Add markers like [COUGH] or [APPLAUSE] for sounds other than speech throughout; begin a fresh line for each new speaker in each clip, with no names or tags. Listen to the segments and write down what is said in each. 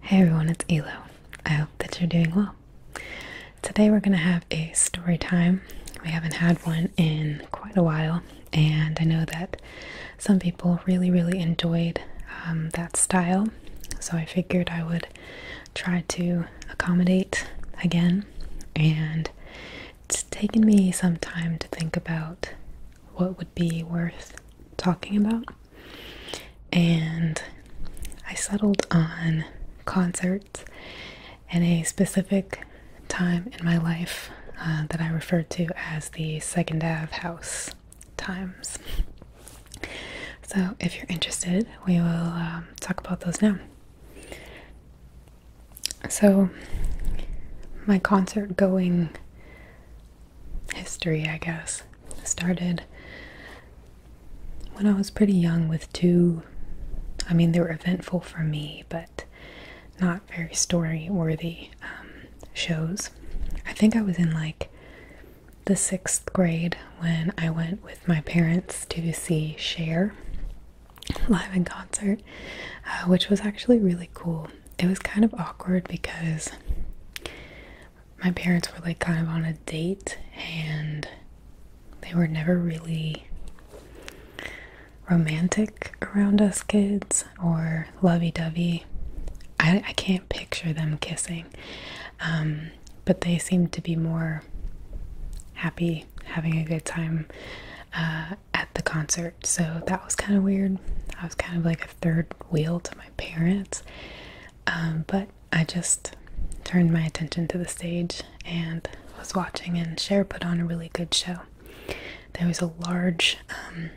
Hey everyone, it's Elo. I hope that you're doing well. Today we're going to have a story time. We haven't had one in quite a while, and I know that some people really, really enjoyed um, that style, so I figured I would try to accommodate again. And it's taken me some time to think about what would be worth talking about and I settled on concerts and a specific time in my life uh, that I refer to as the second Ave house times. So, if you're interested, we will um, talk about those now. So, my concert going history, I guess. started when I was pretty young with two. I mean, they were eventful for me, but not very story worthy um, shows. I think I was in like the sixth grade when I went with my parents to see Cher live in concert, uh, which was actually really cool. It was kind of awkward because my parents were like kind of on a date and they were never really romantic around us kids or lovey dovey. I, can't picture them kissing, um, but they seemed to be more happy, having a good time uh, at the concert. So that was kind of weird. I was kind of like a third wheel to parents. Um, but I just turned my attention to the stage and was watching, and Cher put on a really good show. There was a large um,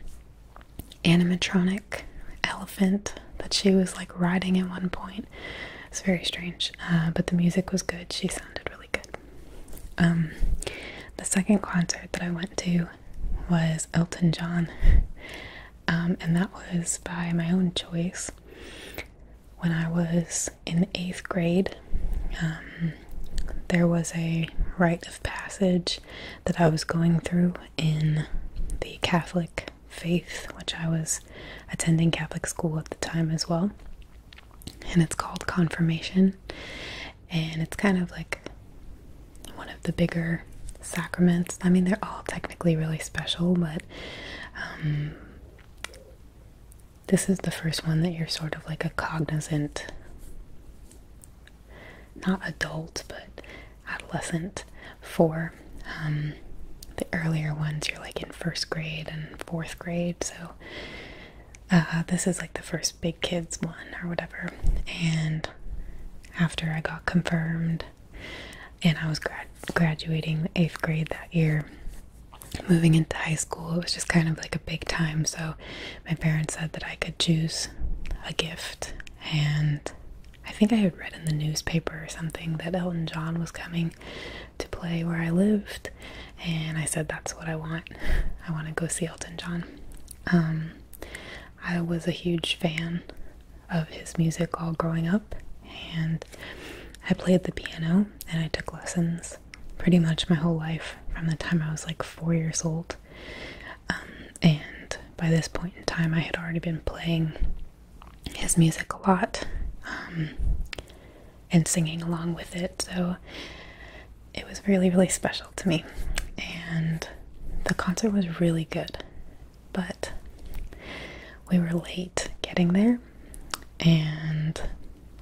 animatronic elephant that she was like riding at one point. It's very strange, uh, but the music was good. She sounded really good. Um, the second concert that I went to was Elton John. Um, and that was by my own choice. When I was in eighth grade, um, there was a rite of passage that I was going through in the Catholic faith, which I was attending Catholic school at the time as well. And it's called confirmation, and it's kind of like one of the bigger sacraments. I mean, they're all technically really special, but um, this is the first one that you're sort of like a cognizant, not adult, but adolescent for. Um, the earlier ones, you're like in first grade and fourth grade, so uh, this is like the first big kids one or whatever, and after I got confirmed and I was graduating eighth grade that year. Moving into high school, it was just kind of like a big time. So, my parents said that I could choose a gift, and I think I had read in the newspaper or something that Elton John was coming to play where I lived, and I said that's what I want. I want to go see Elton John. Um, I was a huge fan of his music all growing up, and I played the piano and I took lessons pretty much my whole life from the time I was like four years old. Um, and by this point in time, I had already been playing his music a lot um, and singing along with it, so it was really, really special to me. And the concert was really good but we were late getting there and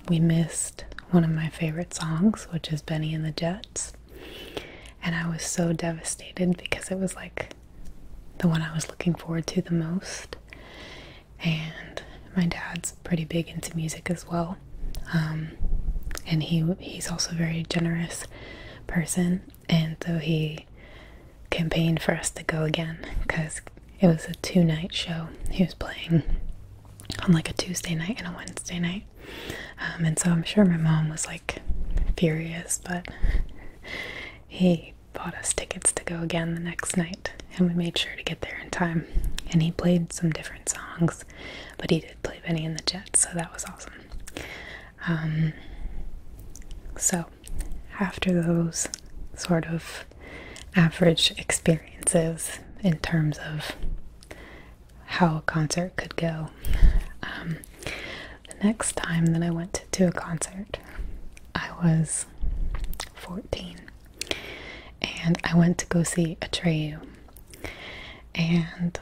we missed one of my favorite songs, which is Benny and the Jets. And I was so devastated because it was like the one I was looking forward to the most. And my dad's pretty big into music as well. Um, and he he's also a very generous person and so he campaigned for us to go again because it was a two night show he was playing on like a Tuesday night and a Wednesday night. Um, and so I'm sure my mom was like furious, but he bought us tickets to go again the next night and we made sure to get there in time. And he played some different songs, but he did play Benny and the Jets, so that was awesome. Um, so, after those sort of average experiences in terms of how a concert could go, um, the next time that I went to a concert, I was 14 and I went to go see Atreyu. And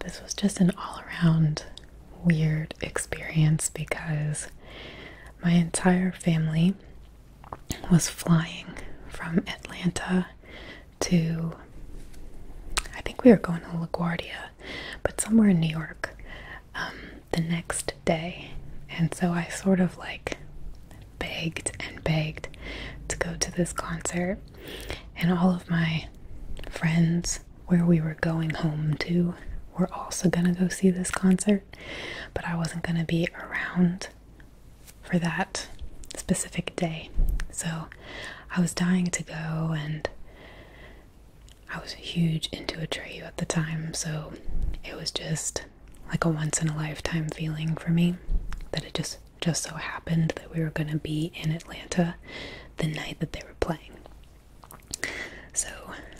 this was just an all around weird experience because my entire family was flying from Atlanta to, I think we were going to LaGuardia, but somewhere in New York um, the next day. And so I sort of like begged and begged to go to this concert and all of my friends where we were going home to were also going to go see this concert, but I wasn't going to be around for that specific day. So I was dying to go, and I was huge into a Atreyu at the time, so it was just like a once in a lifetime feeling for me that it just just so happened that we were going to be in Atlanta the night that they were playing. So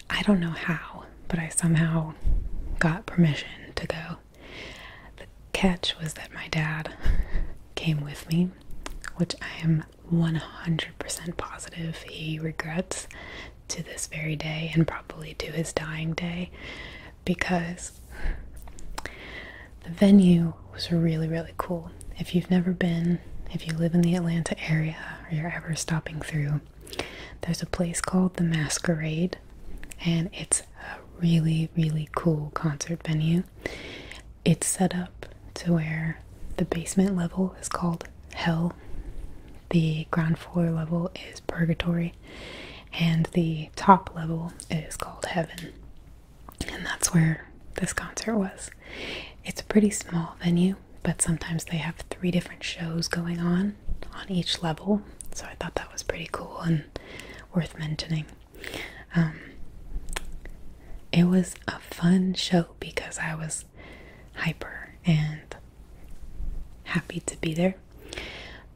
I don't know how, but I somehow got permission to go. The catch was that my dad [LAUGHS] came with me, which I am 100% positive he regrets to this very day and probably to his dying day because the venue was really, really cool. If you've never been, if you live in the Atlanta area or you're ever stopping through, there's a place called The Masquerade, and it's a really, really cool concert venue. It's set up to where the basement level is called Hell, the ground floor level is Purgatory, and the top level is called Heaven and that's where this concert was. It's a pretty small venue, but sometimes they have three different shows going on on each level, so I thought that was pretty cool and worth mentioning. Um, it was a fun show because I was hyper and happy to be there,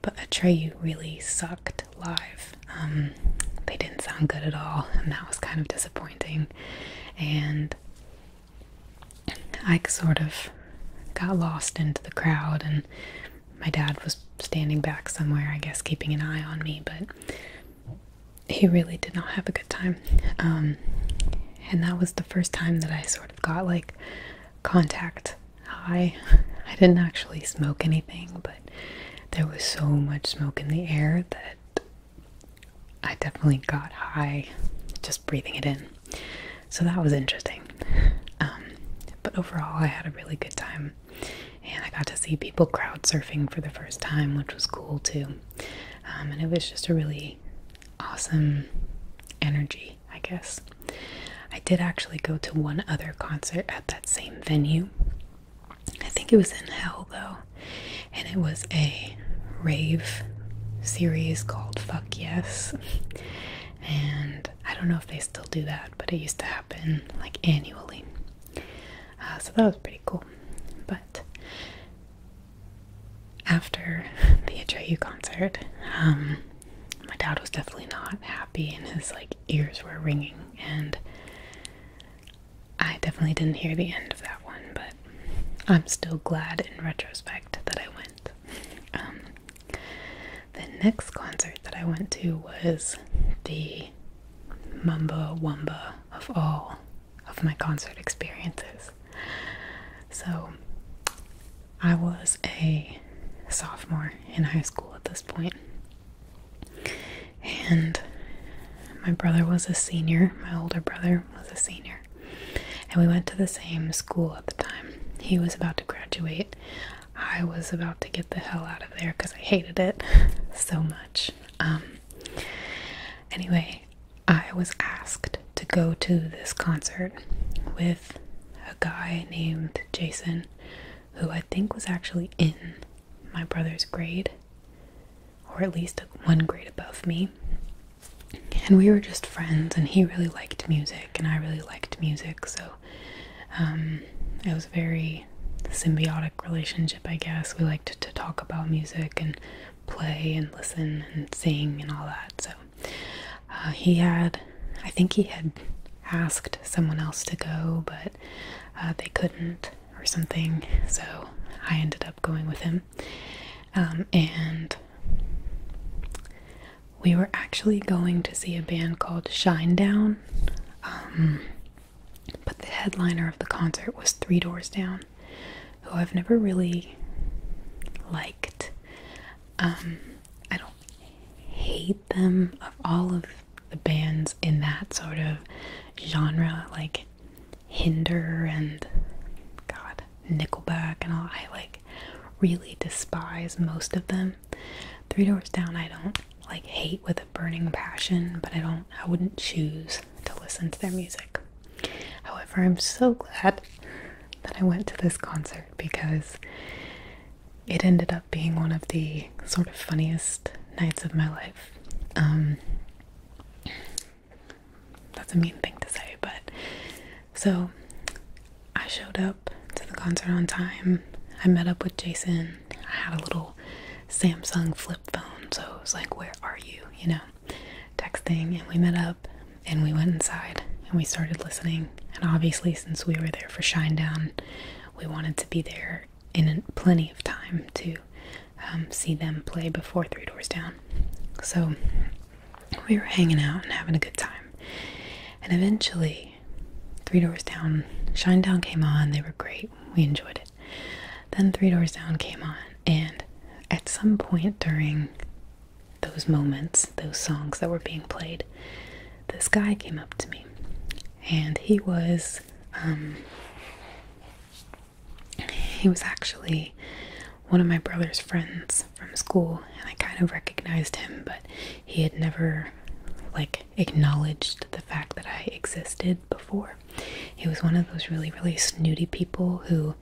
but Atreyu really sucked live. Um, they didn't sound good at all, and that was kind of disappointing. And I sort of got lost into the crowd, and my dad was standing back somewhere, I guess, keeping an eye on me, but he really did not have a good time. Um, and that was the first time that I sort of got like contact high. I didn't actually smoke anything, but there was so much smoke in the air that I definitely got high just breathing it in. So that was interesting. Um, but overall, I had a really good time. And I got to see people crowd surfing for the first time, which was cool too. Um, and it was just a really awesome energy, I guess. I did actually go to one other concert at that same venue. I think it was in hell though, and it was a rave series called Fuck Yes. And I don't know if they still do that, but it used to happen like annually. Uh, so that was pretty cool. But after [LAUGHS] the HJU concert, um, my dad was definitely not happy, and his like ears were ringing, and I definitely didn't hear the end of that one, but I'm still glad in retrospect that I went. Um, the next concert that I went to was the Mumba Wumba of all of my concert experiences. So I was a sophomore in high school at this point and my brother was a senior, my older brother was a senior, and we went to the same school at the time. He was about to graduate. I was about to get the hell out of there because I hated it [LAUGHS] so much. Um, anyway, I was asked to go to this concert with a guy named Jason, who I think was actually in my brother's grade or at least one grade above me. And we were just friends, and he really liked music, and I really liked music, so um, it was a very symbiotic relationship, I guess. We liked to talk about music and play and listen and sing and all that. So uh, he had, I think he had asked someone else to go, but uh, they couldn't or something. So I ended up going with him. Um, and we were actually going to see a band called Shine Down, um, but the headliner of the concert was Three Doors Down, who I've never really liked. Um, I don't hate them of all of the bands in that sort of genre, like Hinder and God, Nickelback and all. I like really despise most of them. Three Doors Down, I don't like hate with a burning passion, but I don't, I wouldn't choose to listen to their music. However, I'm so glad that I went to this concert because it ended up being one of the sort of funniest nights of my life. Um, that's a mean thing to say, but so I showed up to the concert on time. I met up with Jason. I had a little Samsung flip phone, so it was like, Where are you? you know, texting. And we met up and we went inside and we started listening. And obviously, since we were there for Shinedown, we wanted to be there in plenty of time to um, see them play before Three Doors Down. So we were hanging out and having a good time. And eventually, Three Doors Down, Shinedown came on. They were great. We enjoyed it. Then Three Doors Down came on. And at some point during those moments, those songs that were being played, this guy came up to me. And he was um, he was actually one of my brother's friends from school, and I kind of recognized him, but he had never like acknowledged the fact that I existed before. He was one of those really, really snooty people who,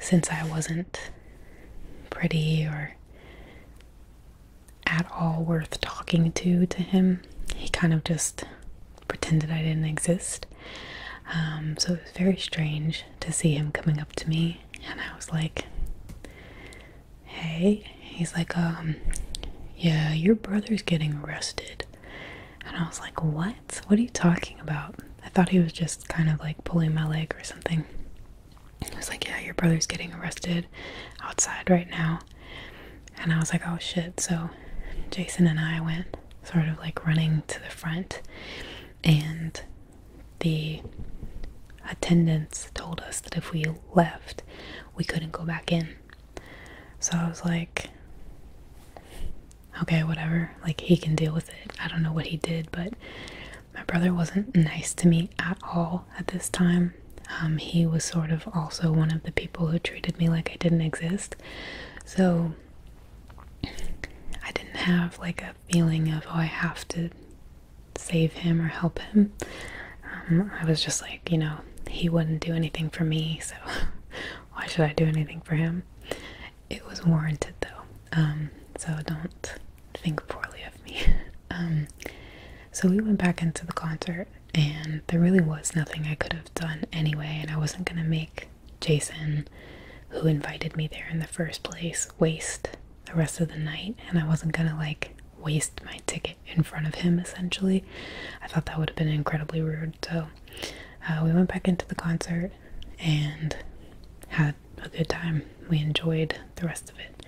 since I wasn't pretty or at all worth talking to to him, he kind of just pretended I didn't exist. Um, so it was very strange to see him coming up to me, and I was like, "Hey," he's like, um, yeah, your brother's getting arrested," and I was like, "What? What are you talking about?" I thought he was just kind of like pulling my leg or something. He was like, "Yeah, your brother's getting arrested outside right now," and I was like, oh shit. So Jason and I went sort of like running to the front, and the attendants told us that if we left, we couldn't go back in. So I was like, okay, whatever. Like, he can deal with it. I don't know what he did, but my brother wasn't nice to me at all at this time. Um, he was sort of also one of the people who treated me like I didn't exist. So I didn't have like a feeling of, oh, I have to save him or help him. Um, I was just like, you know, he wouldn't do anything for me, so [LAUGHS] why should I do anything for him? It was warranted though, um, so don't think poorly of me. [LAUGHS] Um, so we went back into the concert, and there really was nothing I could have done anyway, and I wasn't gonna make Jason, who invited me there in the first place, waste the rest of the night, and I wasn't gonna like waste my ticket in front of him essentially. I thought that would have been incredibly rude. So uh, we went back into the concert and had a good time. We enjoyed the rest of it.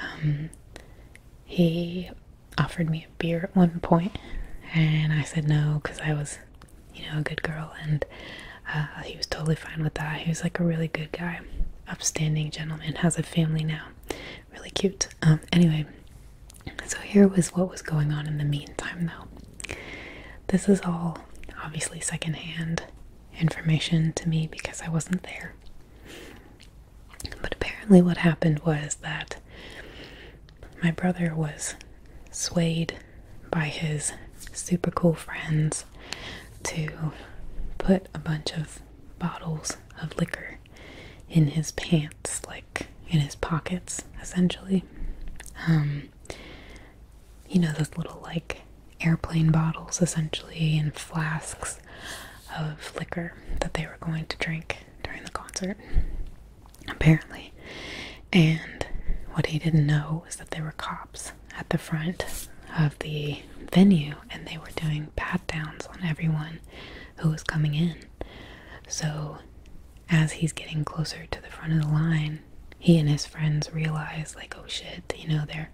Um, he offered me a beer at one point, and I said no because I was you know, a good girl, and uh, he was totally fine with that. He was like a really good guy, upstanding gentleman, has a family now, really cute. Um, anyway, so here was what was going on in the meantime, though. This is all obviously secondhand information to me because I wasn't there. But apparently, what happened was that my brother was swayed by his super cool friends to put a bunch of bottles of liquor in his pants, like in his pockets, essentially. Um, you know, those little like airplane bottles, essentially, and flasks of liquor that they were going to drink during the concert apparently. And what he didn't know was that there were cops at the front of the venue and they were doing pat downs on everyone who was coming in. So, as he's getting closer to the front of the line, he and his friends realize, like, oh shit, you know, they're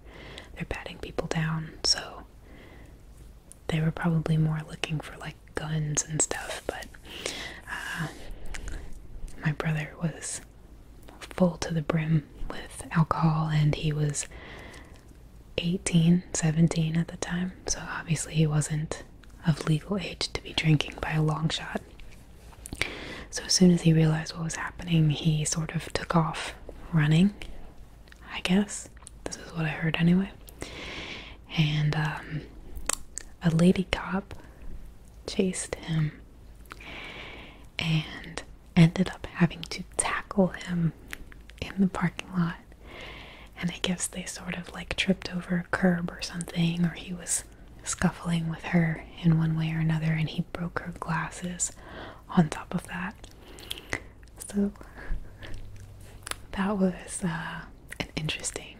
they're patting people down. So, they were probably more looking for like guns and stuff, but uh, my brother was full to the brim with alcohol and he was 18, 17 at the time, so obviously he wasn't of legal age to be drinking by a long shot. So as soon as he realized what was happening, he sort of took off running, I guess. This is what I heard anyway and um, a lady cop chased him and ended up having to tackle him in the parking lot. And I guess they sort of like tripped over a curb or something, or he was scuffling with her in one way or another, and he broke her glasses on top of that. So that was uh, an interesting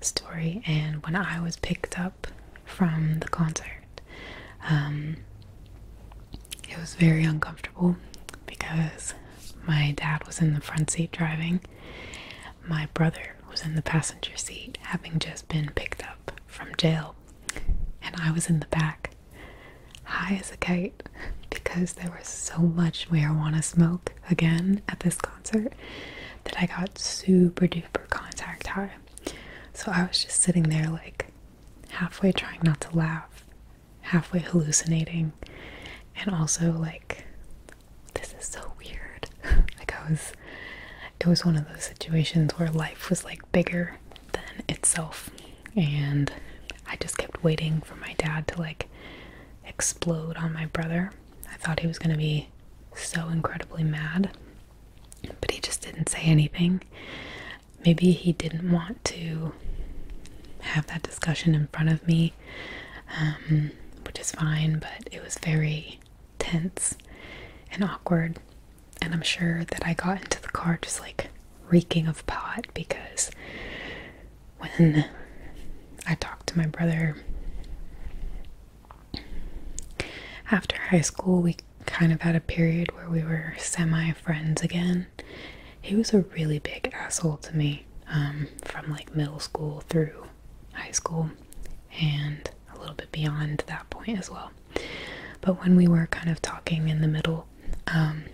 story. And when I was picked up from the concert, um, it was very uncomfortable because my dad was in the front seat driving, my brother was in the passenger seat, having just been picked up from jail, and I was in the back, high as a kite, because there was so much marijuana smoke again at this concert concert that I got super duper contact high. So I was just sitting there, like halfway trying not to laugh, halfway hallucinating, and also like, this is so weird. [LAUGHS] like, I was, it was one of those situations where life was like bigger than itself. And I just kept waiting for my dad to like explode on my brother. I thought he was going to be so incredibly mad, but he just didn't say anything. Maybe he didn't want to have that discussion in front of me, um, which is fine, but it was very tense and awkward. And I'm sure that I got into the car just like reeking of pot because when I talked to my brother after high school, we kind of had a period where we were semi friends again. He was a really big asshole to me um, from like middle school through high school and a little bit beyond that point as well. But when we were kind of talking in the middle, um,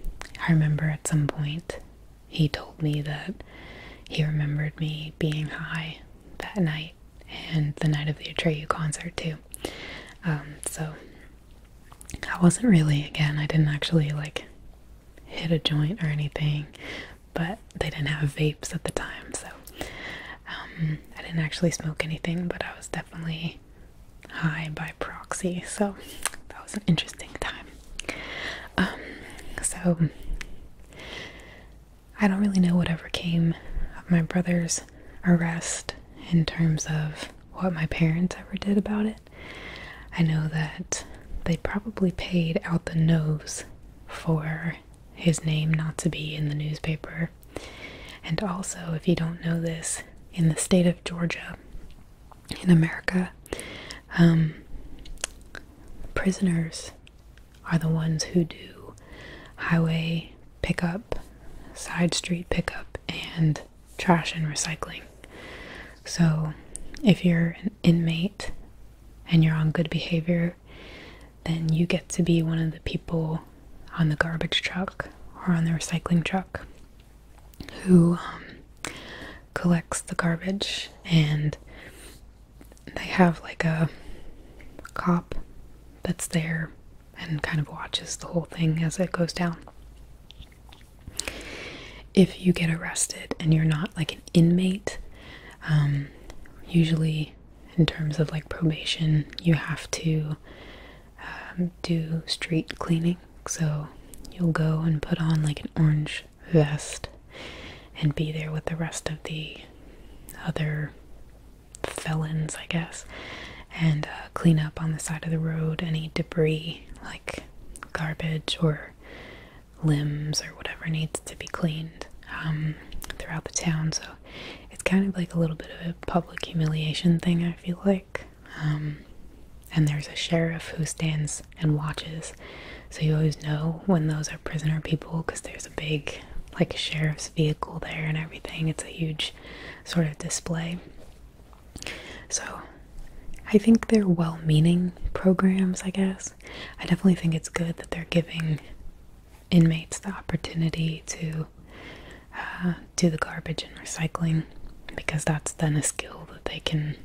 I remember at some point he told me that he remembered me being high that night and the night of the Atreyu concert too. Um, so I wasn't really again. I didn't actually like hit a joint or anything, but they didn't have vapes at the time, so um, I didn't actually smoke anything. But I was definitely high by proxy, so that was an interesting time. Um, so I don't really know whatever came of my brother's arrest in terms of what my parents ever did about it. I know that they probably paid out the nose for his name not to be in the newspaper. And also, if you don't know this, in the state of Georgia, in America, um, prisoners are the ones who do highway pickup, side street pickup, and trash and recycling. So, if you're an inmate and you're on good behavior, then you get to be one of the people on the garbage truck or on the recycling truck who um, collects the garbage and they have like a cop that's there and kind of watches the whole thing as it goes down. If you get arrested and you're not like an inmate, um, usually in terms of like probation, you have to um, do street cleaning. So you'll go and put on like an orange vest and be there with the rest of the other felons, I guess, and uh, clean up on the side of the road any debris like garbage or limbs or whatever needs to be cleaned um, throughout the town. So it's kind of like a little bit of a public humiliation thing, I feel like. Um, and there's a sheriff who stands and watches. So you always know when those are prisoner people because there's a big like sheriff's vehicle there and everything. It's a huge sort of display. So I think they're well-meaning programs, I guess. I definitely think it's good that they're giving inmates the opportunity to uh, do the garbage and recycling because that's then a skill that they can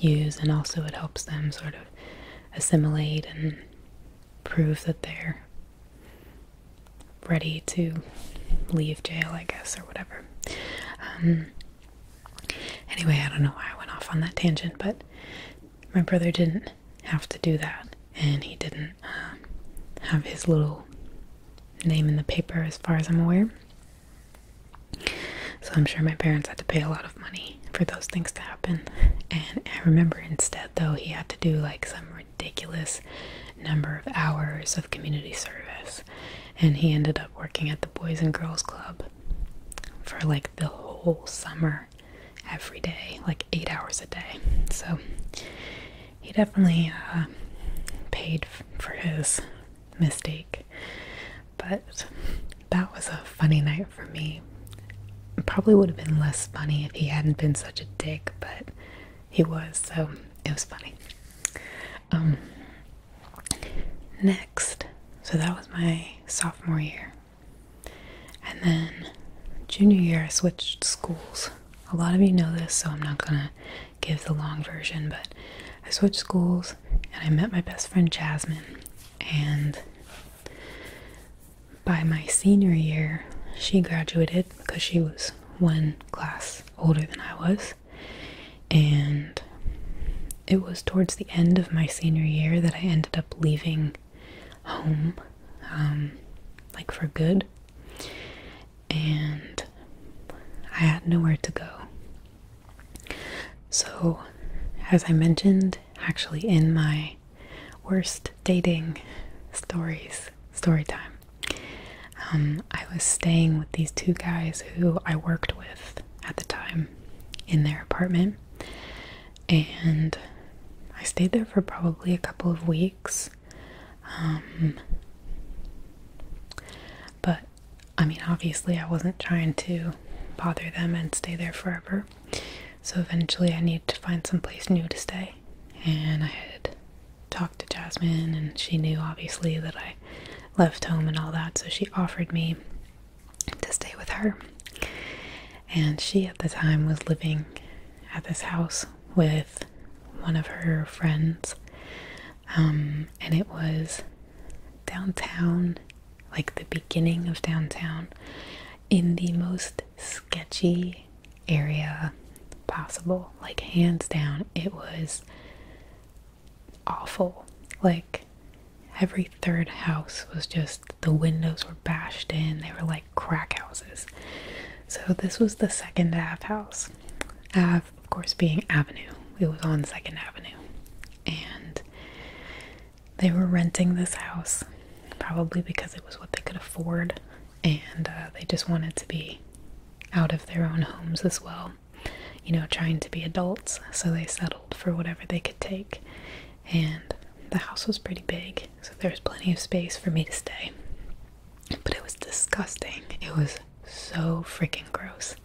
use and also it helps them sort of assimilate and prove that they're ready to leave jail, I guess, or whatever. Um, anyway, I don't know why I went off on that tangent, but my brother didn't have to do that, and he didn't um, have his little name in the paper, as far as I'm aware. So I'm sure my parents had to pay a lot of money for those things to happen. And I remember instead, though, he had to do like some ridiculous number of hours of community service. And he ended up working at the Boys and Girls Club for like the whole summer, every day, like eight hours a day. So he definitely uh, paid for his mistake. But that was a funny night for me. probably would have been less funny if he hadn't been such a dick, but he was, so it was funny. Um, next, so that was my sophomore year. And then junior year, I switched schools. A lot of you know this, so I'm not gonna give the long version, but I switched schools and I met my best friend Jasmine. And by my senior year, she graduated because she was one class older than I was. And it was towards the end of my senior year that I ended up leaving home, um, like for good. And I had nowhere to go. So, as I mentioned, actually, in my worst dating stories story time. Um, I was staying with these two guys who I worked with at the time in their apartment, and I stayed there for probably a couple of weeks. Um, but I mean, obviously, I wasn't trying to bother them and stay there forever. So eventually, I needed to find some place new to stay. And I had talked to Jasmine, and she knew obviously that I left home and all that, so she offered me to stay with her. And she at the time was living at this house with one of her friends, um, and it was downtown, like the beginning of downtown in the most sketchy area possible. Like, hands down, it was awful. Like, every third house was just the windows were bashed in, they were like crack houses. So, this was the second Ave house. Ave, of course, being Avenue, it was on Second Avenue, and they were renting this house, probably because it was what they could afford, and uh, they just wanted to be out of their own homes as well. You know, trying to be adults, so they settled for whatever they could take. And the house was pretty big, so there was plenty of space for me to stay. But it was disgusting. It was so freaking gross.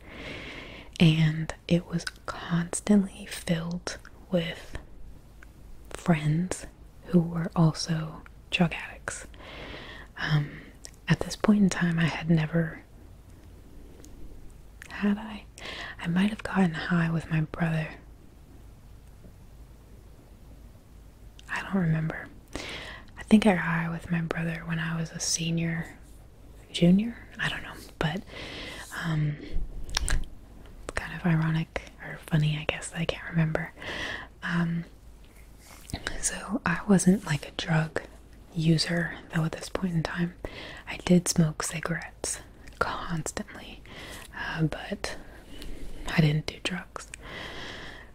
And it was constantly filled with friends who were also drug addicts. Um, at this point in time, I had never. Had I? I might have gotten high with my brother. I don't remember. I think I high with my brother when I was a senior, junior? I don't know but um, kind of ironic or funny, I guess. I can't remember. Um, so I wasn't like a drug user though at this point in time. I did smoke cigarettes constantly, uh, but I didn't do drugs.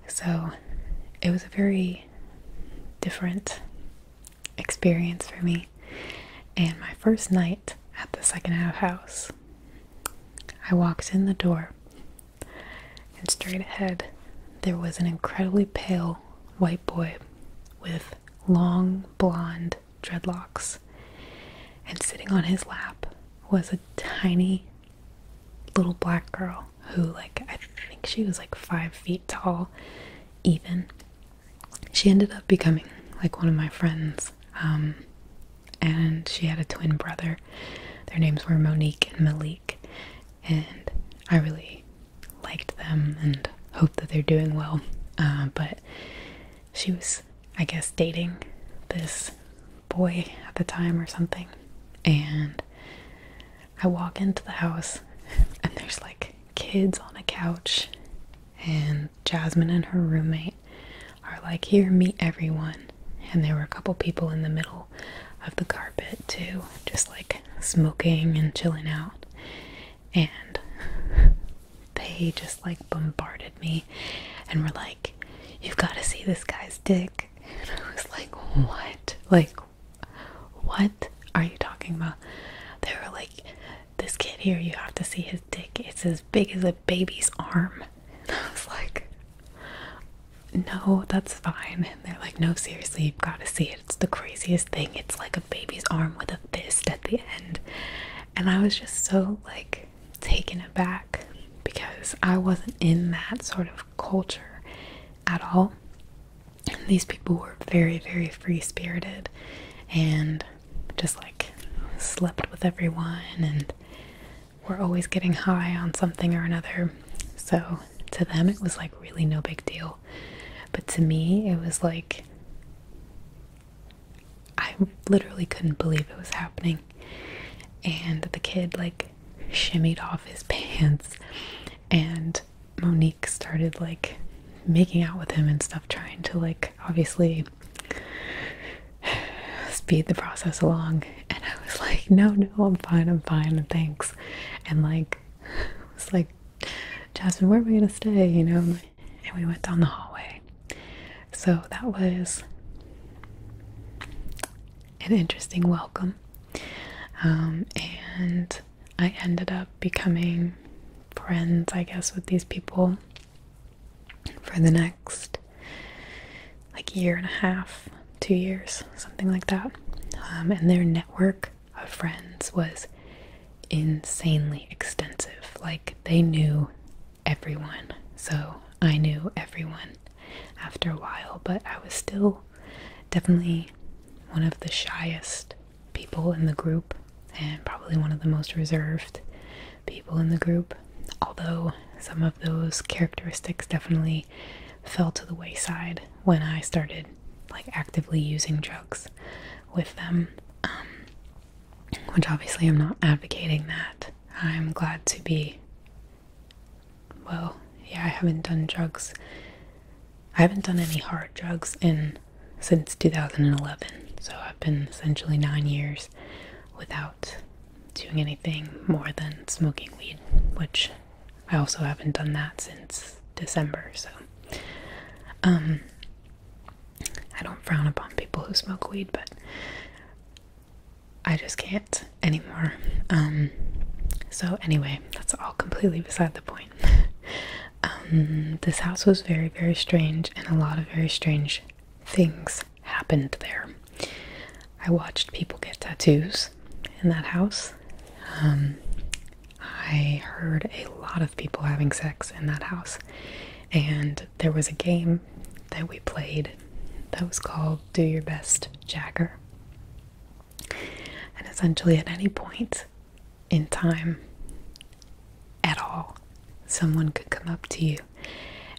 So it was a very different experience for me. And my first night at the second-hand house, I walked in the door, and straight ahead there was an incredibly pale white boy with long blonde dreadlocks. And sitting on his lap was a tiny little black girl who, like, I think she was like five feet tall, even she ended up becoming like one of my friends. Um, and she had a twin brother. Their names were Monique and Malik. And I really liked them and hope that they're doing well. Uh, but she was, I guess, dating this boy at the time or something. And I walk into the house and there's like kids on a couch and Jasmine and her roommate are like, Here, meet everyone. And there were a couple people in the middle of the carpet too, just like smoking and chilling out. And they just like bombarded me and were like, You've got to see this guy's dick. And I was like, What? Like, what are you talking about? They were like, this kid here, you have to see his dick. It's as big as a baby's arm. [LAUGHS] I was like, no, that's fine. And they're like, no, seriously, you've got to see it. It's the craziest thing. It's like a baby's arm with a fist at the end. And I was just so like taken aback because I wasn't in that sort of culture at all. these people were very, very free spirited and just like slept with everyone and we're always getting high on something or another. So to them, it was like really no big deal. But to me, it was like I literally couldn't believe it was happening. And the kid like shimmied off his [LAUGHS] pants, and Monique started like making out with him and stuff, trying to like obviously speed the process along and I was like no no I'm fine I'm fine thanks and like I was like Jasmine where are we gonna stay you know and we went down the hallway so that was an interesting welcome um, and I ended up becoming friends I guess with these people for the next like year and a half, two years, something like that. Um, and their network of friends was insanely extensive. Like they knew everyone. So I knew everyone after a while, but I was still definitely one of the shyest people in the group and probably one of the most reserved people in the group, although some of those characteristics definitely fell to the wayside when I started like actively using drugs with them. Um, which obviously I'm not advocating that. I'm glad to be. Well, yeah, I haven't done drugs. I haven't done any hard drugs in since 2011. So I've been essentially 9 years without doing anything more than smoking weed, which I also haven't done that since December, so um, I don't frown upon people who smoke weed, but I just can't anymore. Um, so anyway, that's all completely beside the point. [LAUGHS] Um, this house was very very strange and a lot of very strange things happened there. I watched people get tattoos in that house. Um, I heard a lot of people having sex in that house, and there was a game that we played that was called Do Your Best Jagger. And essentially, at any point in time, at all, someone could come up to you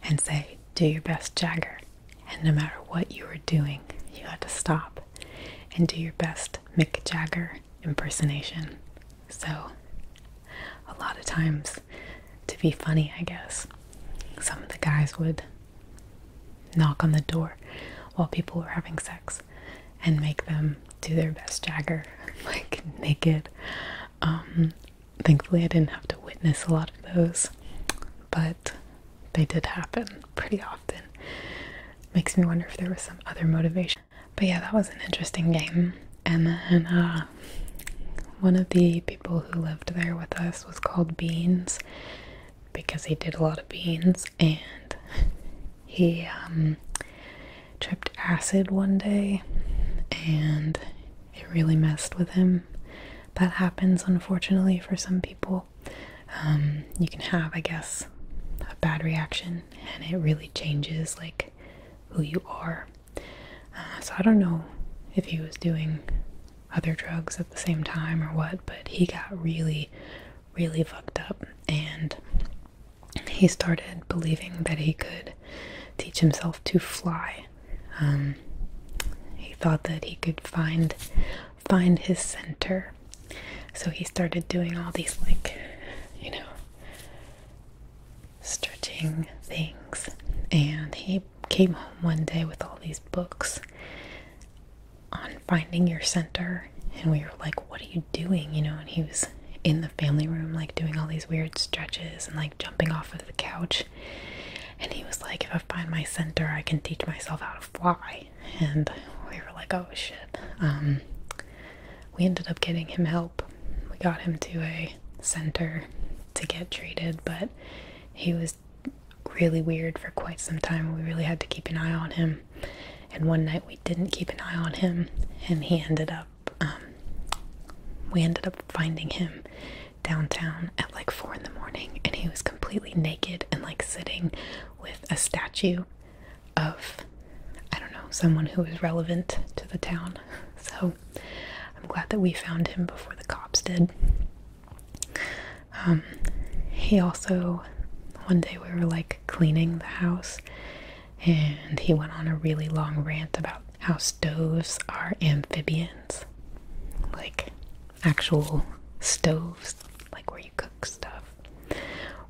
and say, Do your best, Jagger. And no matter what you were doing, you had to stop and do your best Mick Jagger impersonation. So, a lot of times, to be funny, I guess, some of the guys would knock on the door while people were having sex and make them do their best Jagger, [LAUGHS] like naked. Um, Thankfully, I didn't have to witness a lot of those, but they did happen pretty often. Makes me wonder if there was some other motivation. But yeah, that was an interesting game. And then uh, one of the people who lived there with us was called Beans because he did a lot of beans and he um, tripped acid one day and it really messed with him. That happens, unfortunately, for some people. Um, you can have, I guess, a bad reaction and it really changes, like, who you are. Uh, so I don't know if he was doing other drugs at the same time or what, but he got really, really fucked up and he started believing that he could teach himself to fly. Um, he thought that he could find find his center, so he started doing all these like, you know, stretching things. And he came home one day with all these books on finding your center, and we were like, "What are you doing?" You know, and he was in the family room, like doing all these weird stretches and like jumping off of the couch. And he was like, If I find my center, I can teach myself how to fly. And we were like, Oh shit. Um, we ended up getting him help. We got him to a center to get treated, but he was really weird for quite some time. We really had to keep an eye on him. And one night we didn't keep an eye on him, and he ended up um, we ended up finding him downtown at like four in the morning, and he was completely naked and like sitting with a statue of I don't know someone who is relevant to the town. [LAUGHS] So I'm glad that we found him before the cops did. Um, he also one day we were like cleaning the house and he went on a really long rant about how stoves are amphibians like actual stoves like where you cook stuff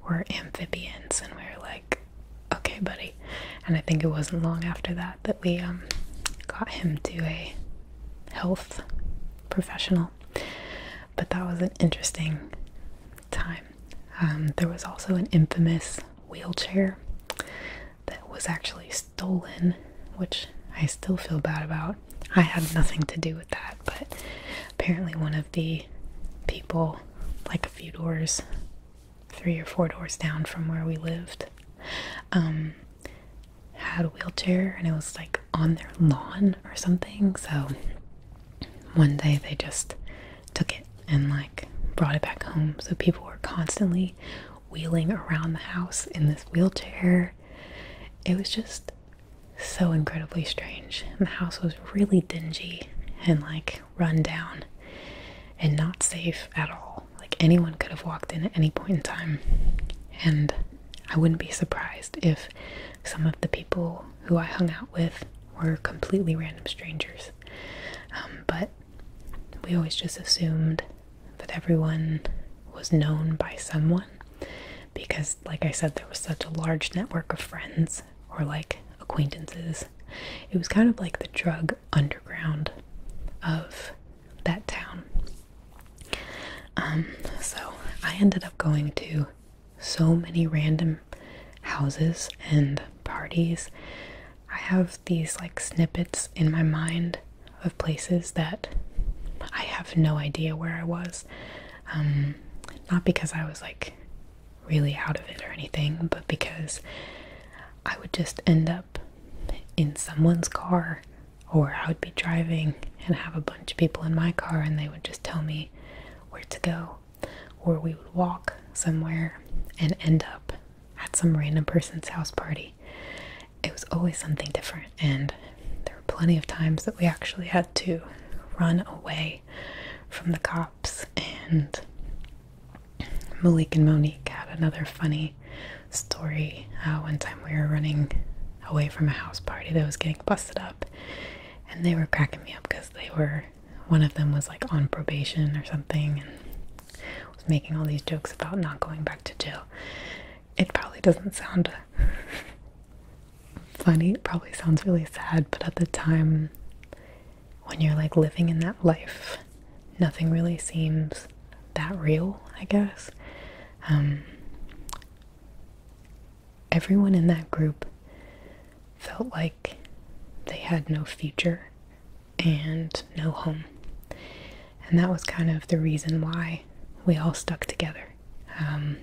were amphibians and we are like okay buddy and i think it wasn't long after that that we um, got him to a health professional but that was an interesting time um, there was also an infamous wheelchair that was actually stolen, which I still feel bad about. I had nothing to do with that, but apparently, one of the people, like a few doors, three or four doors down from where we lived, um, had a wheelchair and it was like on their lawn or something. So one day they just took it and like brought it back home. So people were constantly wheeling around the house in this wheelchair. It was just so incredibly strange. And the house was really dingy and like run down and not safe at all. Like anyone could have walked in at any point in time. And I wouldn't be surprised if some of the people who I hung out with were completely random strangers. Um, but we always just assumed that everyone was known by someone because, like I said, there was such a large network of friends or like acquaintances. It was kind of like the drug underground of that town. Um, so I ended up going to so many random houses and parties. I have these like snippets in my mind of places that I have no idea where I was. Um, not because I was like really out of it or anything, but because I would just end up in someone's car or I would be driving and have a bunch of people in my car and they would just tell me where to go or we would walk somewhere and end up at some random person's house party. It was always something different, and there were plenty of times that we actually had to run away from the cops. And Malik and Monique had another funny story. Uh, one time we were running away from a house party that was getting busted up, and they were cracking me up because they were one of them was like on probation or something, was making all these jokes about not going back to jail. It probably doesn't sound [LAUGHS] funny, it probably sounds really sad, but at the time, when you're like living in that life, nothing really seems that real, I guess. Um, everyone in that group felt like they had no future and no home. And that was kind of the reason why we all stuck together. Um,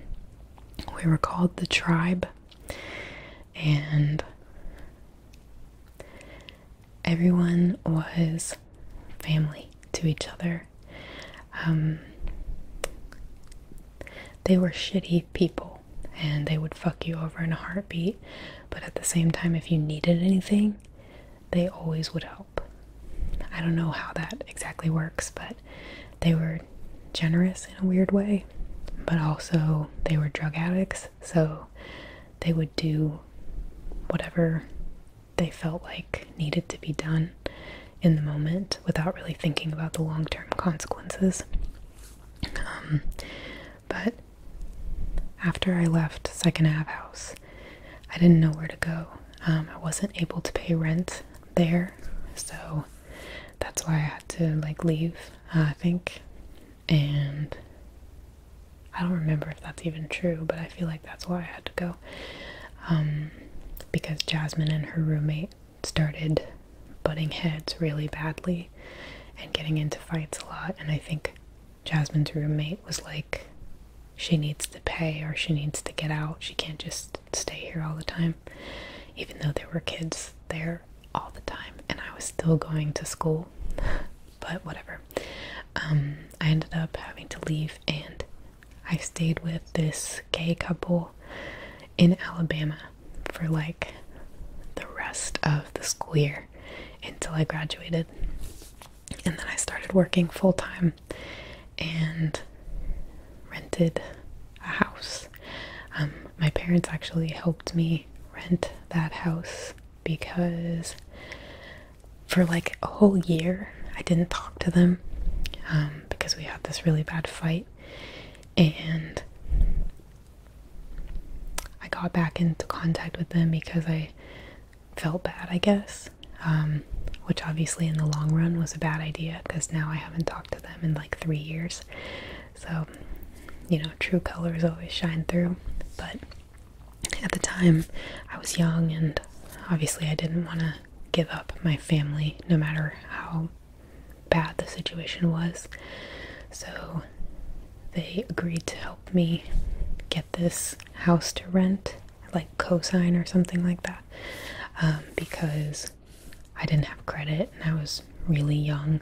we were called the tribe, and everyone was family to each other. Um, they were shitty people and they would fuck you over in a heartbeat, but at the same time, if you needed anything, they always would help. I don't know how that exactly works, but they were generous in a weird way, but also they were drug addicts, so they would do whatever they felt like needed to be done in the moment without really thinking about the long term consequences. Um, but after I left Second Ave House, I didn't know where to go. Um, I wasn't able to pay rent there, so that's why I had to like leave. Uh, I think, and I don't remember if that's even true, but I feel like that's why I had to go. Um, because Jasmine and her roommate started butting heads really badly and getting into fights a lot, and I think Jasmine's roommate was like, she needs to pay or she needs to get out. She can't just stay here all the time. Even though there were kids there all the time and I was still going to school, [LAUGHS] but whatever. Um, I ended up having to leave and I stayed with this gay couple in Alabama for like the rest of the school year until I graduated. And then I started working full time and rented a house. Um, my parents actually helped me rent that house because for like a whole year I didn't talk to them um, because we had this really bad fight. And I got back into contact with them because I felt bad, I guess. Um, which obviously, in the long run, was a bad idea because now I haven't talked to them in like three years. So, you know, true colors always shine through. But at the time, I was young and obviously I didn't want to give up my family no matter how bad the situation was. So they agreed to help me get this house to rent, like cosign or something like that, um, because I didn't have credit and I was really young,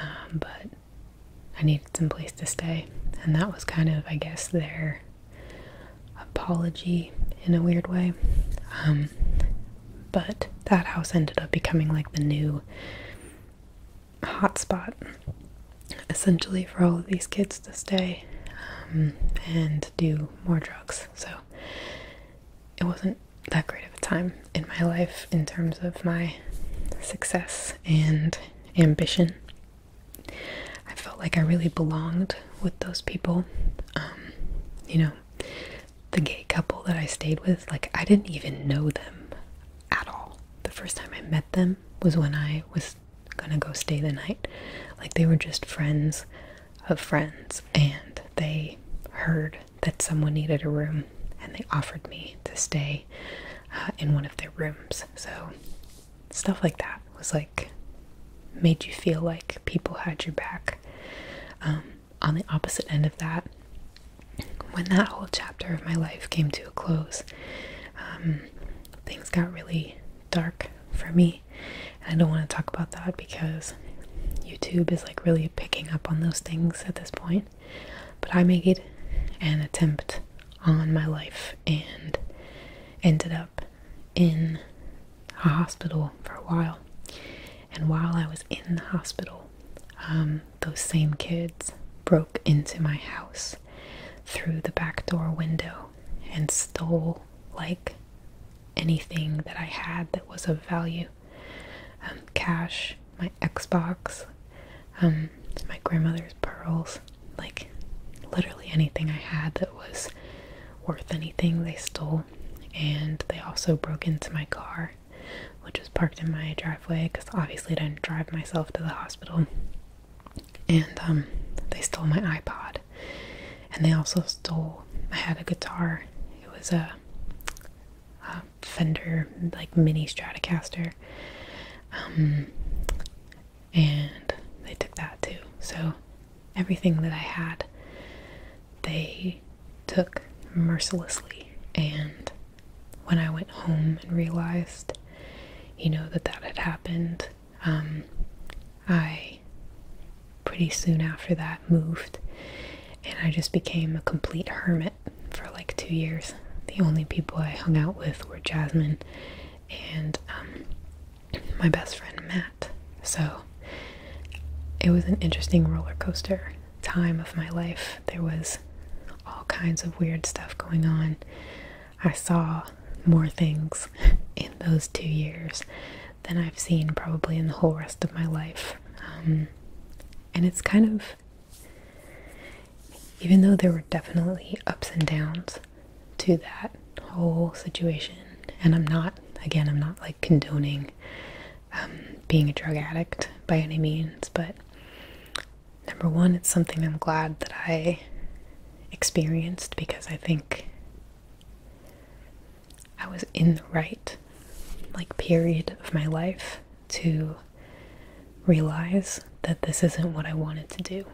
um, but I needed some place to stay, and that was kind of, I guess, their apology in a weird way. Um, but that house ended up becoming like the new Hot spot, essentially for all of these kids to stay um, and do more drugs. So it wasn't that great of a time in my life in terms of my success and ambition. I felt like I really belonged with those people. Um, you know, the gay couple that I stayed with, like, I didn't even know them at all. The first time I met them, was when I was gonna go stay the night. Like they were just friends of friends, and they heard that someone needed a room, and they offered me to stay uh, in one of their rooms. So stuff like that was like made you feel like people had your back. Um, on the opposite end of that, when that whole chapter of my life came to a close, um, things got really dark for me. And I don't want to talk about that because YouTube is like really picking up on those things at this point. But I made an attempt on my life and ended up in a hospital for a while. And while I was in the hospital, um, those same kids broke into my house through the back door window and stole like anything that I had that was of value um, cash, my Xbox, um, my grandmother's pearls like literally anything I had that was worth anything, they stole. And they also broke into my car, which parked in my driveway because obviously I didn't drive myself to the hospital. And um, they stole my iPod. And they also stole, I had a guitar. It was a, Fender, like mini Stratocaster. Um, and they took that too. So everything that I had, they took mercilessly. And when I went home and realized, you know, that that had happened, um, I pretty soon after that moved and I just became a complete hermit for like two years. The only people I hung out with were Jasmine and um, my best friend Matt. So it was an interesting roller coaster time of my life. There was all kinds of weird stuff going on. I saw more things in those two years than I've seen probably in the whole rest of my life. Um, and it's kind of, even though there were definitely ups and downs to that whole situation, and I'm not, again, I'm not like condoning um, being a drug addict by any means, but Number one, it's something I'm glad that I experienced because I think I was in the right like period of my life to realize that this isn't what I wanted to do.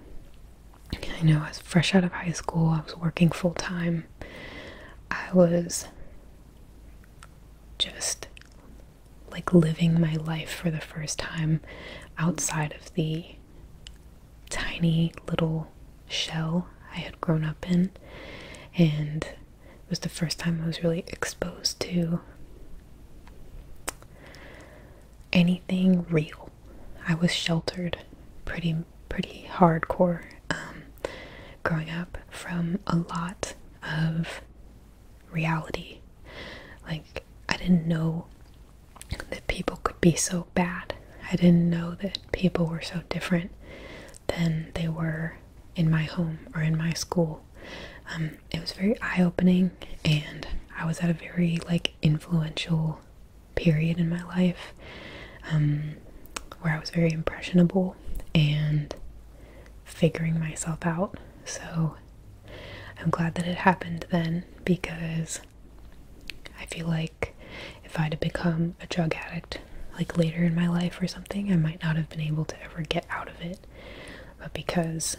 I know I was fresh out of high school, I was working full time. I was just like living my life for the first time outside of the tiny little shell I had grown up in. And it was the first time I was really exposed to anything real. I was sheltered pretty, pretty hardcore um, growing up from a lot of reality. Like, I didn't know that people could be so bad. I didn't know that people were so different than they were in my home or in my school. Um, it was very eye opening, and I was at a very like influential period in my life um, where I was very impressionable and figuring myself out. So I'm glad that it happened then because I feel like if I'd have become a drug addict like later in my life or something, I might not have been able to ever get out of it. But because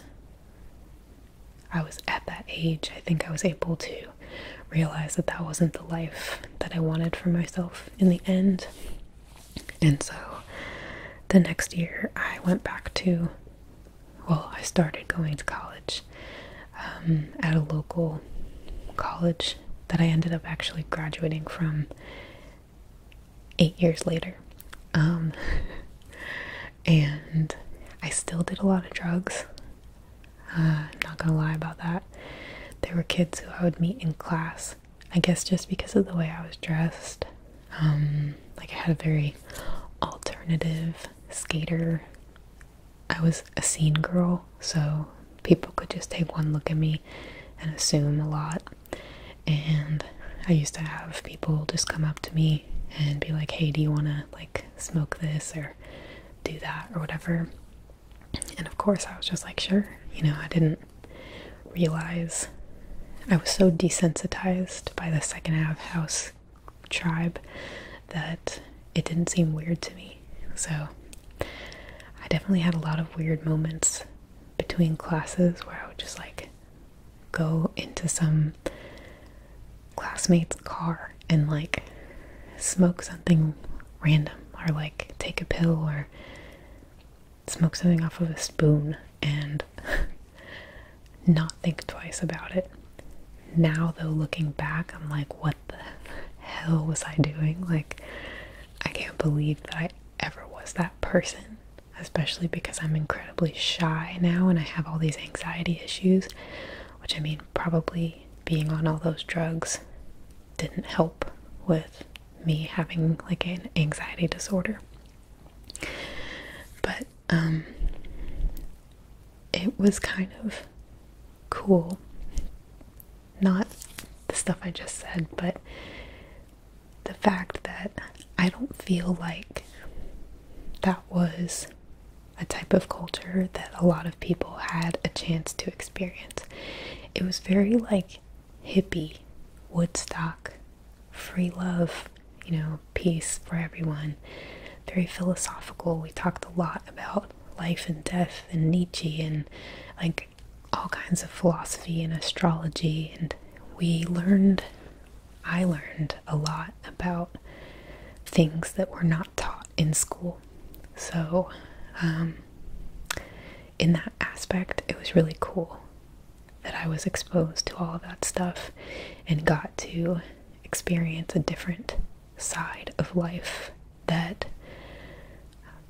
I was at that age, I think I was able to realize that that wasn't the life that I wanted for myself in the end. And so the next year, I went back to well, I started going to college um, at a local college that I ended up actually graduating from eight years later. Um, [LAUGHS] and I still did a lot of drugs. Uh, I'm not gonna lie about that. There were kids who I would meet in class. I guess just because of the way I was dressed, um, like I had a very alternative skater. I was a scene girl, so people could just take one look at me and assume a lot. And I used to have people just come up to me and be like, "Hey, do you want to like smoke this or do that or whatever?" And of course, I was just like, "Sure." You know, I didn't realize I was so desensitized by the second half of house tribe that it didn't seem weird to me. So I definitely had a lot of weird moments between classes where I would just like go into some classmate's car and like smoke something random or like take a pill or smoke something off of a spoon and [LAUGHS] not think twice about it. Now, though, looking back, I'm like, what the hell was I doing? Like, I can't believe that I ever was that person, especially because I'm incredibly shy now and I have all these anxiety issues, which I mean, probably being on all those drugs didn't help with me having like an anxiety disorder. But um, it was kind of cool. Not the stuff I just said, but the fact that I don't feel like that was a type of culture that a lot of people had a chance to experience. It was very like hippie Woodstock free love, you know, peace for everyone. Very philosophical. We talked a lot about life and death and Nietzsche and like all kinds of philosophy and astrology. And we learned, I learned a lot about things that were not taught in school. So, um, in that aspect, it was really cool that I was exposed to all of that stuff and got to experience a different side of life that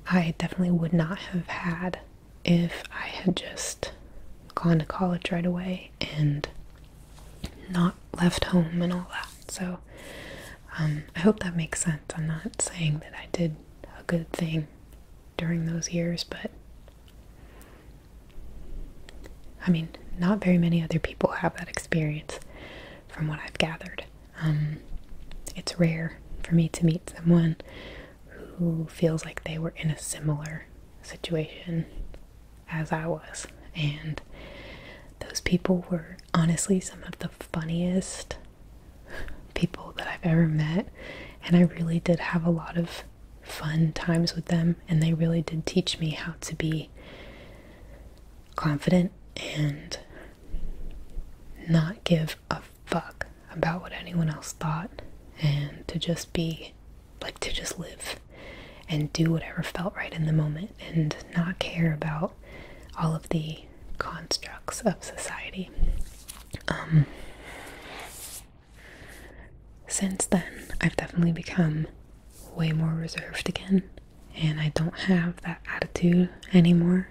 I definitely would not have had if I had just gone to college right away and not left home and all that. So um, I hope that makes sense. I'm not saying that I did a good thing during those years, but I mean, not very many other people have that experience from what I've gathered. Um, it's rare for me to meet someone who feels like they were in a similar situation as I was. And those people were honestly some of the funniest people that I've ever met. And I really did have a lot of fun times with them, and they really did teach me how to be confident and not give a fuck about what anyone else thought, and to just be like to just live and do whatever felt right in the moment and not care about all of the constructs of society. Um, since then, I've definitely become way more reserved again, and I don't have that attitude anymore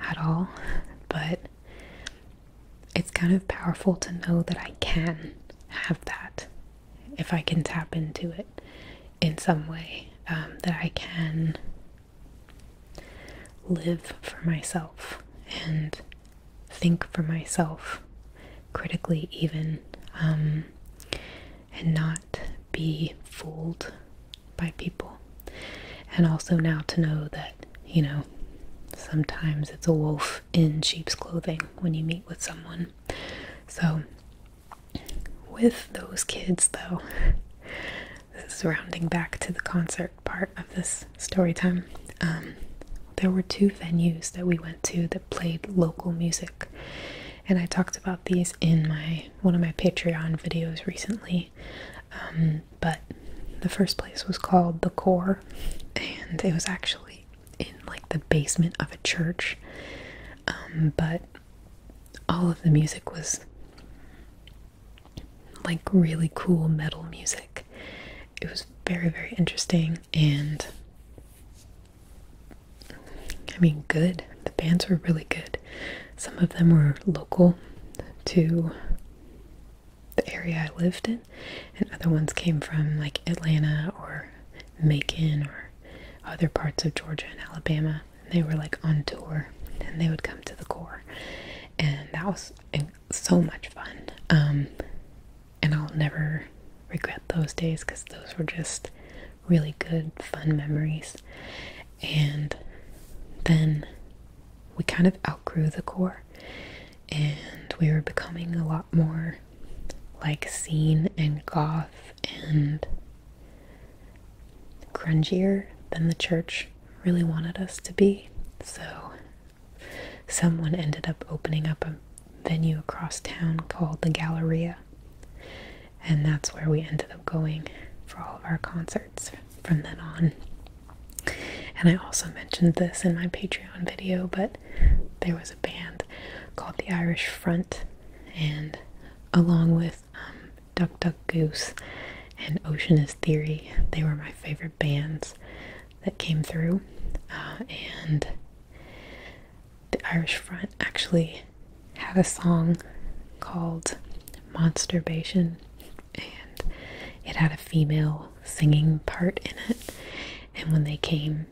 at all. But it's kind of powerful to know that I can have that if I can tap into it in some way, um, that I can live for myself and think for myself critically even um, and not be fooled by people and also now to know that you know sometimes it's a wolf in sheep's clothing when you meet with someone so with those kids though [LAUGHS] this is rounding back to the concert part of this story time um, there were two venues that we went to that played local music. And I talked about these in my one of my Patreon videos recently. Um, but the first place was called The Core, and it was actually in like the basement of a church. Um, but all of the music was like really cool metal music. It was very, very interesting and I mean, good. The bands were really good. Some of them were local to the area I lived in, and other ones came from like Atlanta or Macon or other parts of Georgia and Alabama. And they were like on tour, and they would come to the core, and that was so much fun. Um, and I'll never regret those days because those were just really good, fun memories. And then we kind of outgrew the core and we were becoming a lot more like seen and goth and grungier than the church really wanted us to be. So Someone ended up opening up a venue across town called the Galleria, and that's where we ended up going for all of our concerts from then on. And I also mentioned this in my Patreon video, but there was a band called the Irish Front, and along with um, Duck Duck Goose and Oceanus Theory, they were my favorite bands that came through, uh, and the Irish Front actually had a song called Monsterbation, and it had a female singing part in it. And when they came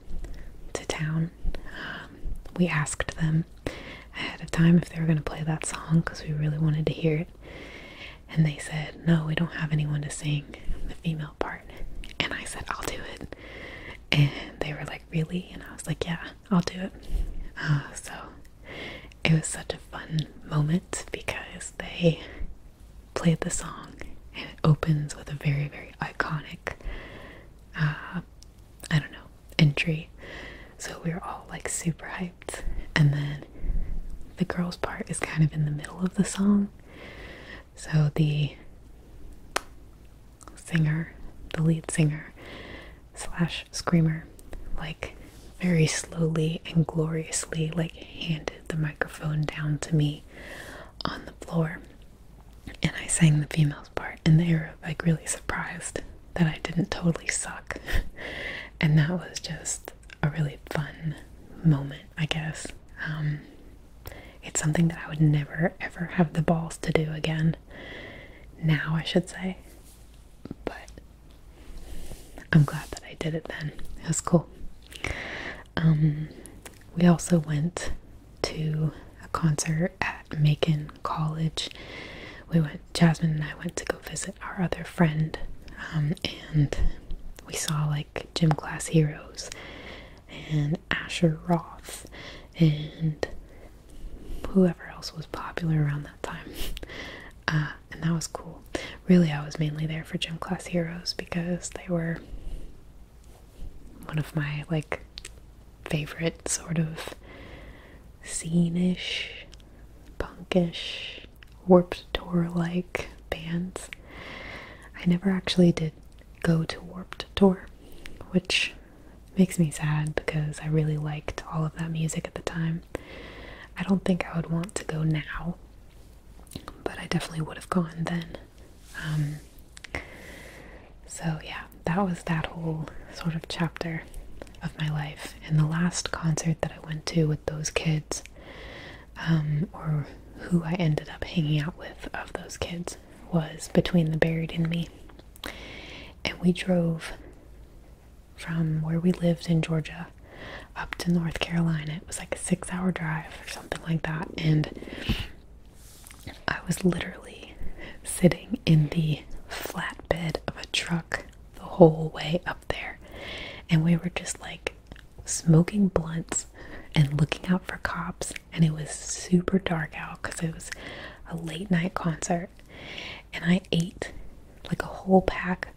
to town, um, we asked them ahead of time if they were going to play that song because we really wanted to hear it. And they said, No, we don't have anyone to sing the female part. And I said, I'll do it. And they were like, Really? And I was like, Yeah, I'll do it. Uh, so it was such a fun moment because they played the song and it opens with a very, very iconic, uh, I don't know, entry. So we were all like super hyped. And then the girls' part is kind of in the middle of the song. So the singer, the lead singer slash screamer, like very slowly and gloriously, like handed the microphone down to me on the floor. And I sang the female's part, and they were like really surprised that I didn't totally suck. [LAUGHS] and that was just a really fun moment, I guess. Um, it's something that I would never ever have the balls to do again. Now, I should say. But I'm glad that I did it then. It was cool. Um, we also went to a concert at Macon College. We went, Jasmine and I went to go visit our other friend, um, and we saw like gym class heroes and Asher Roth and whoever else was popular around that time. [LAUGHS] Uh, and that was cool. Really, I was mainly there for Gym Class Heroes because they were one of my like favorite sort of scene-ish, punkish, warped tour like bands. I never actually did go to Warped Tour, which makes me sad because I really liked all of that music at the time. I don't think I would want to go now, but I definitely would have gone then. Um, so, yeah, that was that whole sort of chapter of my life. And the last concert that I went to with those kids, um, or who I ended up hanging out with of those kids, was between the buried and me. And we drove from where we lived in Georgia up to North Carolina. It was like a six hour drive or something like that. And I was literally sitting in the flatbed of a truck the whole way up there. And we were just like smoking blunts and looking out for cops and it was super dark out because it was a late night concert. And I ate like a whole pack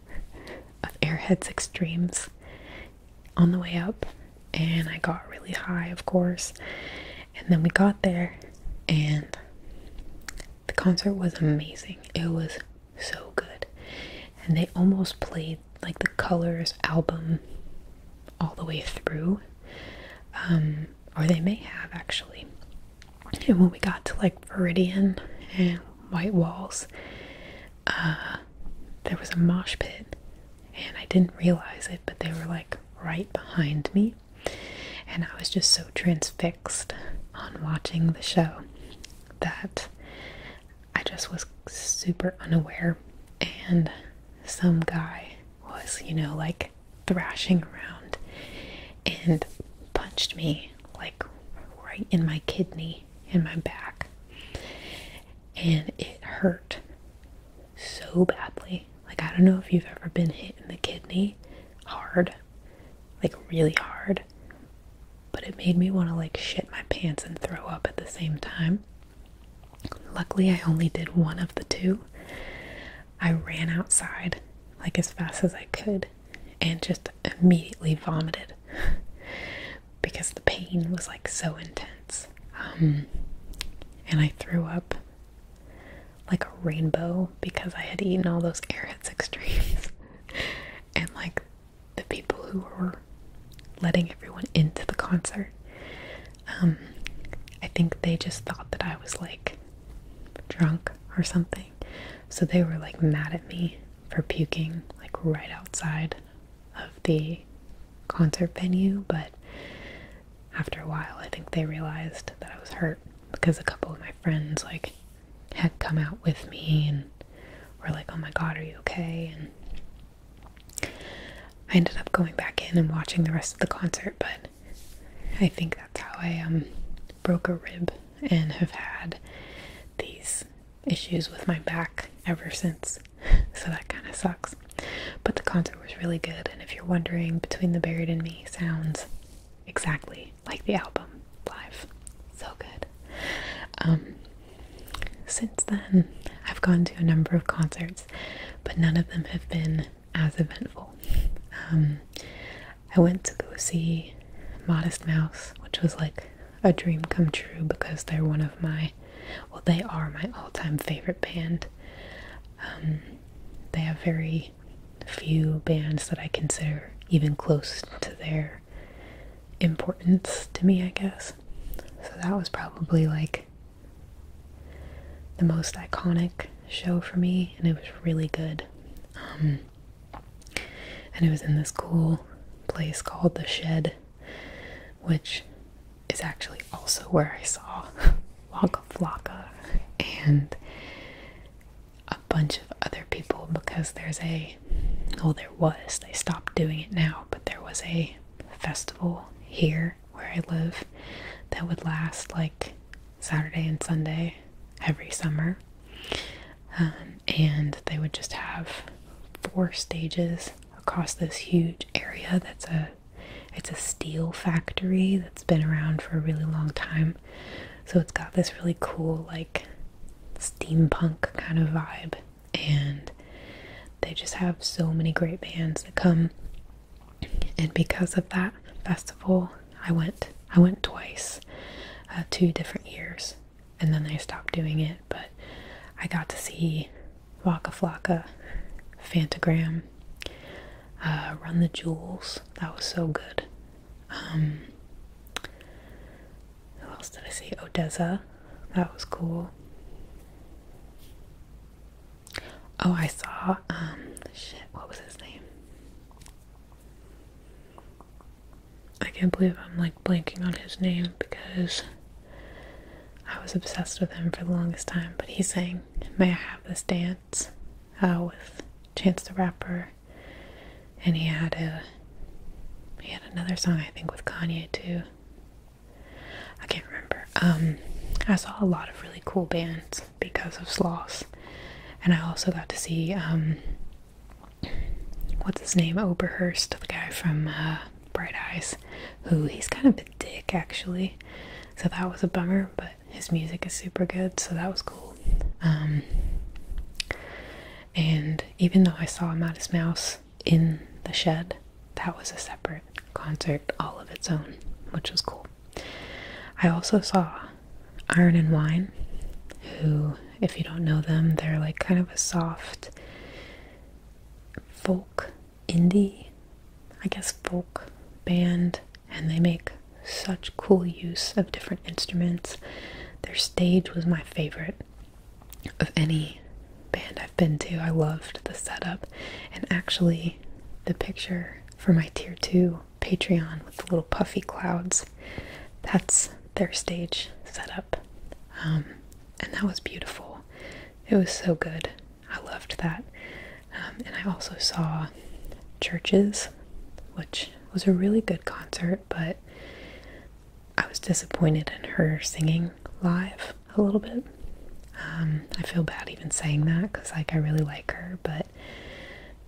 of Airheads Extremes on the way up, and I got really high, of course. And then we got there, and the concert was amazing. It was so good, and they almost played like the Colors album all the way through, um, or they may have actually. And when we got to like Viridian and White Walls, uh, there was a mosh pit, and I didn't realize it, but they were like right behind me, and I was just so transfixed on watching the show that I just was super unaware and some guy was, you know, like thrashing around and punched me like right in my kidney, in my back. And it hurt so badly. Like, I don't know if you've ever been hit in the kidney hard, like really hard, but it made me want to like shit my pants and throw up at the same time. Luckily, I only did one of the two. I ran outside like as fast as I could and just immediately vomited [LAUGHS] because the pain was like so intense. Um, and I threw up like a rainbow because I had eaten all those Airheads [LAUGHS] extremes. and like the people who were letting everyone into the concert. Um, I think they just thought that I was like drunk or something, so they were like mad at me for puking like right outside of the concert venue. But after a while, I think they realized that I was hurt because a couple of my friends like had come out with me and were like, "Oh my God, are you okay?" and I ended up going back in and watching the rest of the concert, but I think that's how I um, broke a rib and have had these issues with my back ever since. [LAUGHS] So that kind of sucks. But the concert was really good, and if you're wondering, Between the Buried and Me sounds exactly like the album live. So good. Um, since then, I've gone to a number of concerts but none of them have been as eventful. Um, I went to go see Modest Mouse, which was like a dream come true because they're one of my, well, they are my all time favorite band. Um, they have very few bands that I consider even close to their importance to me, I guess. So that was probably like the most iconic show for me, and it was really good. Um, and it was in this cool place called The Shed, which is actually also where I saw [LAUGHS] Waka Flocka and a bunch of other people because there's a, oh, there was, they stopped doing it now, but there was a festival here where I live that would last like Saturday and Sunday every summer. Um, and they would just have four stages across this huge area that's a it's a steel factory that's been around for a really long time. So it's got this really cool like steampunk kind of vibe and they just have so many great bands that come and because of that festival i went i went twice uh, two different years and then they stopped doing it but i got to see waka flocka fantagram uh, run the jewels that was so good um, who else did i see odessa that was cool Oh, I saw, um, shit, what was his name? I can't believe I'm like blanking on his name because I was obsessed with him for the longest time. But he sang May I Have This Dance uh, with Chance the Rapper. And he had a, he had another song I think with Kanye too. I can't remember. Um, I saw a lot of really cool bands because of Slaus, and I also got to see um, what's his name, Oberhurst, the guy from uh, Bright Eyes, who he's kind of a dick actually. So that was a bummer, but his music is super good, so that was cool. Um, and even though I saw Modest Mouse in the shed. That was a separate concert all of its own, which was cool. I also saw Iron and Wine, who, if you don't know them, they're like kind of a soft folk indie, I guess, folk band, and they make such cool use of different instruments. Their stage was my favorite of any band I been to. I loved the setup. And actually, the picture for my tier two Patreon with the little puffy clouds, that's their stage setup. Um, and that was beautiful. It was so good. I loved that. Um, and I also saw Churches, which was a really good concert, but I was disappointed in her singing live a little bit. Um, I feel bad even saying that because, like, I really like her, but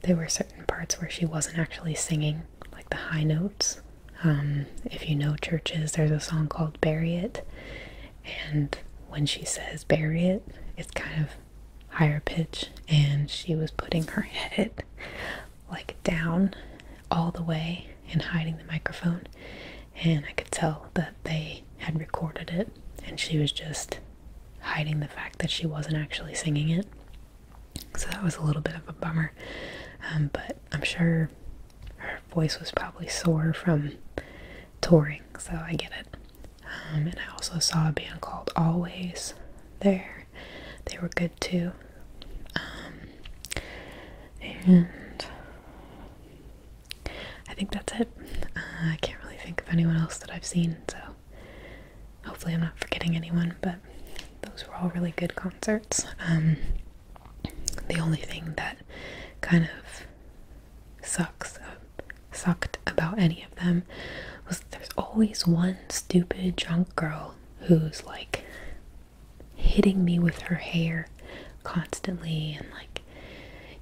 there were certain parts where she wasn't actually singing like the high notes. Um, if you know churches, there's a song called Bury It, and when she says bury it, it's kind of higher pitch, and she was putting her [LAUGHS] head like down all the way and hiding the microphone. And I could tell that they had recorded it and she was just hiding the fact that she wasn't actually singing it. So that was a little bit of a bummer. Um, but I'm sure her voice was probably sore from touring, so I get it. Um, and I also saw a band called Always there. They were good too. Um, and I think that's it. Uh, I can't really think of anyone else that I've seen, so hopefully I'm not forgetting anyone, but those were all really good concerts. Um, the only thing that kind of sucks uh, sucked about any of them was there's always one stupid drunk girl who's like hitting me with her hair constantly and like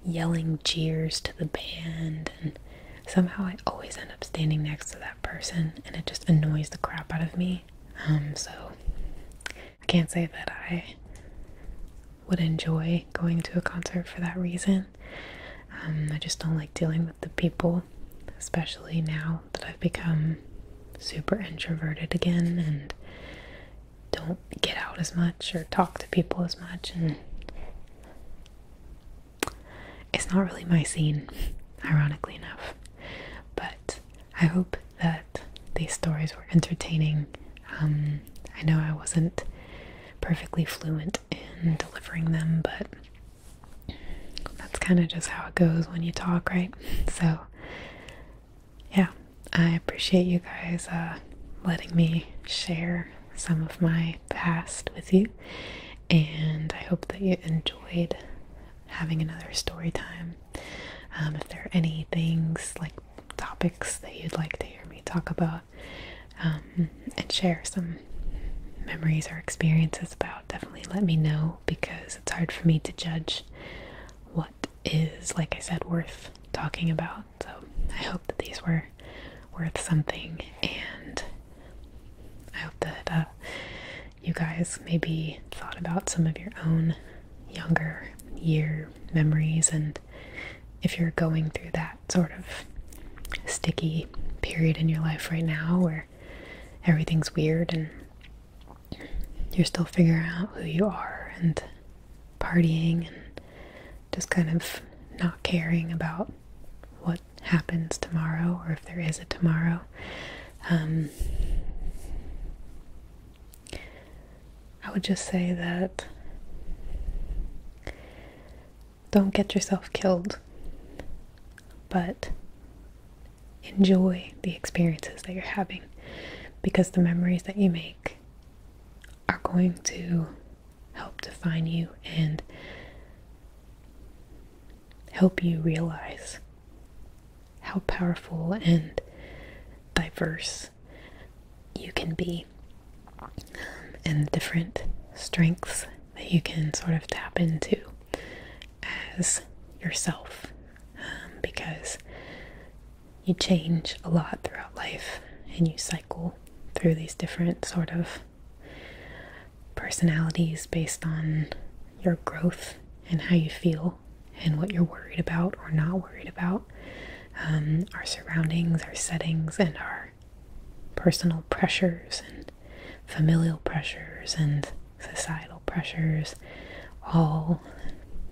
yelling jeers to the band and somehow I always end up standing next to that person and it just annoys the crap out of me. Um, so I can't say that I would enjoy going to a concert for that reason. Um, I just don't like dealing with the people, especially now that I've become super introverted again and don't get out as much or talk to people as much and it's not really my scene [LAUGHS] ironically enough but i hope that these stories were entertaining um, i know i wasn't perfectly fluent in delivering them but that's kind of just how it goes when you talk right [LAUGHS] so yeah, I appreciate you guys uh, letting me share some of my past with you, and I hope that you enjoyed having another story time. Um, if there are any things like topics that you'd like to hear me talk about um, and share some memories or experiences about, definitely let me know because it's hard for me to judge what is, like I said, worth talking about so I hope that these were worth something, and I hope that uh, you guys maybe thought about some of your own younger year memories, and if you're going through that sort of sticky period in your life right now where everything's weird and you're still figuring out who you are and partying and just kind of not caring about what happens tomorrow or if there is a tomorrow. Um, I would just say that don't get yourself killed, but enjoy the experiences that you're having because the memories that you make are going to help define you and help you realize how powerful and diverse you can be um, and different strengths that you can sort of tap into as yourself um, because you change a lot throughout life and you cycle through these different sort of personalities based on your growth and how you feel and what you're worried about or not worried about, um, our surroundings, our settings, and our personal pressures and familial pressures and societal pressures all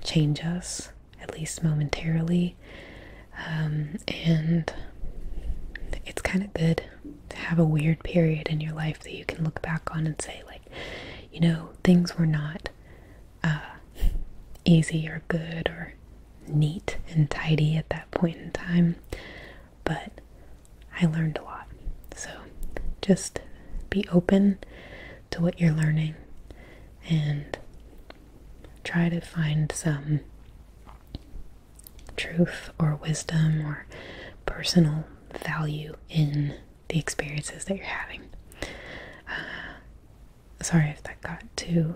change us at least momentarily. Um, and it's kind of good to have a weird period in your life that you can look back on and say, like, you know, things were not uh, easy or good or neat and tidy at that point in time, but I learned a lot. So just be open to what you're learning and try to find some truth or wisdom or personal value in the experiences that you're having. Uh, sorry if that got too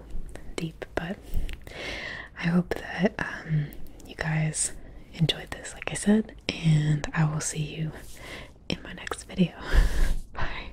deep, but I hope that um, you guys enjoyed this, like I said, and I will see you in my next video. [LAUGHS] Bye.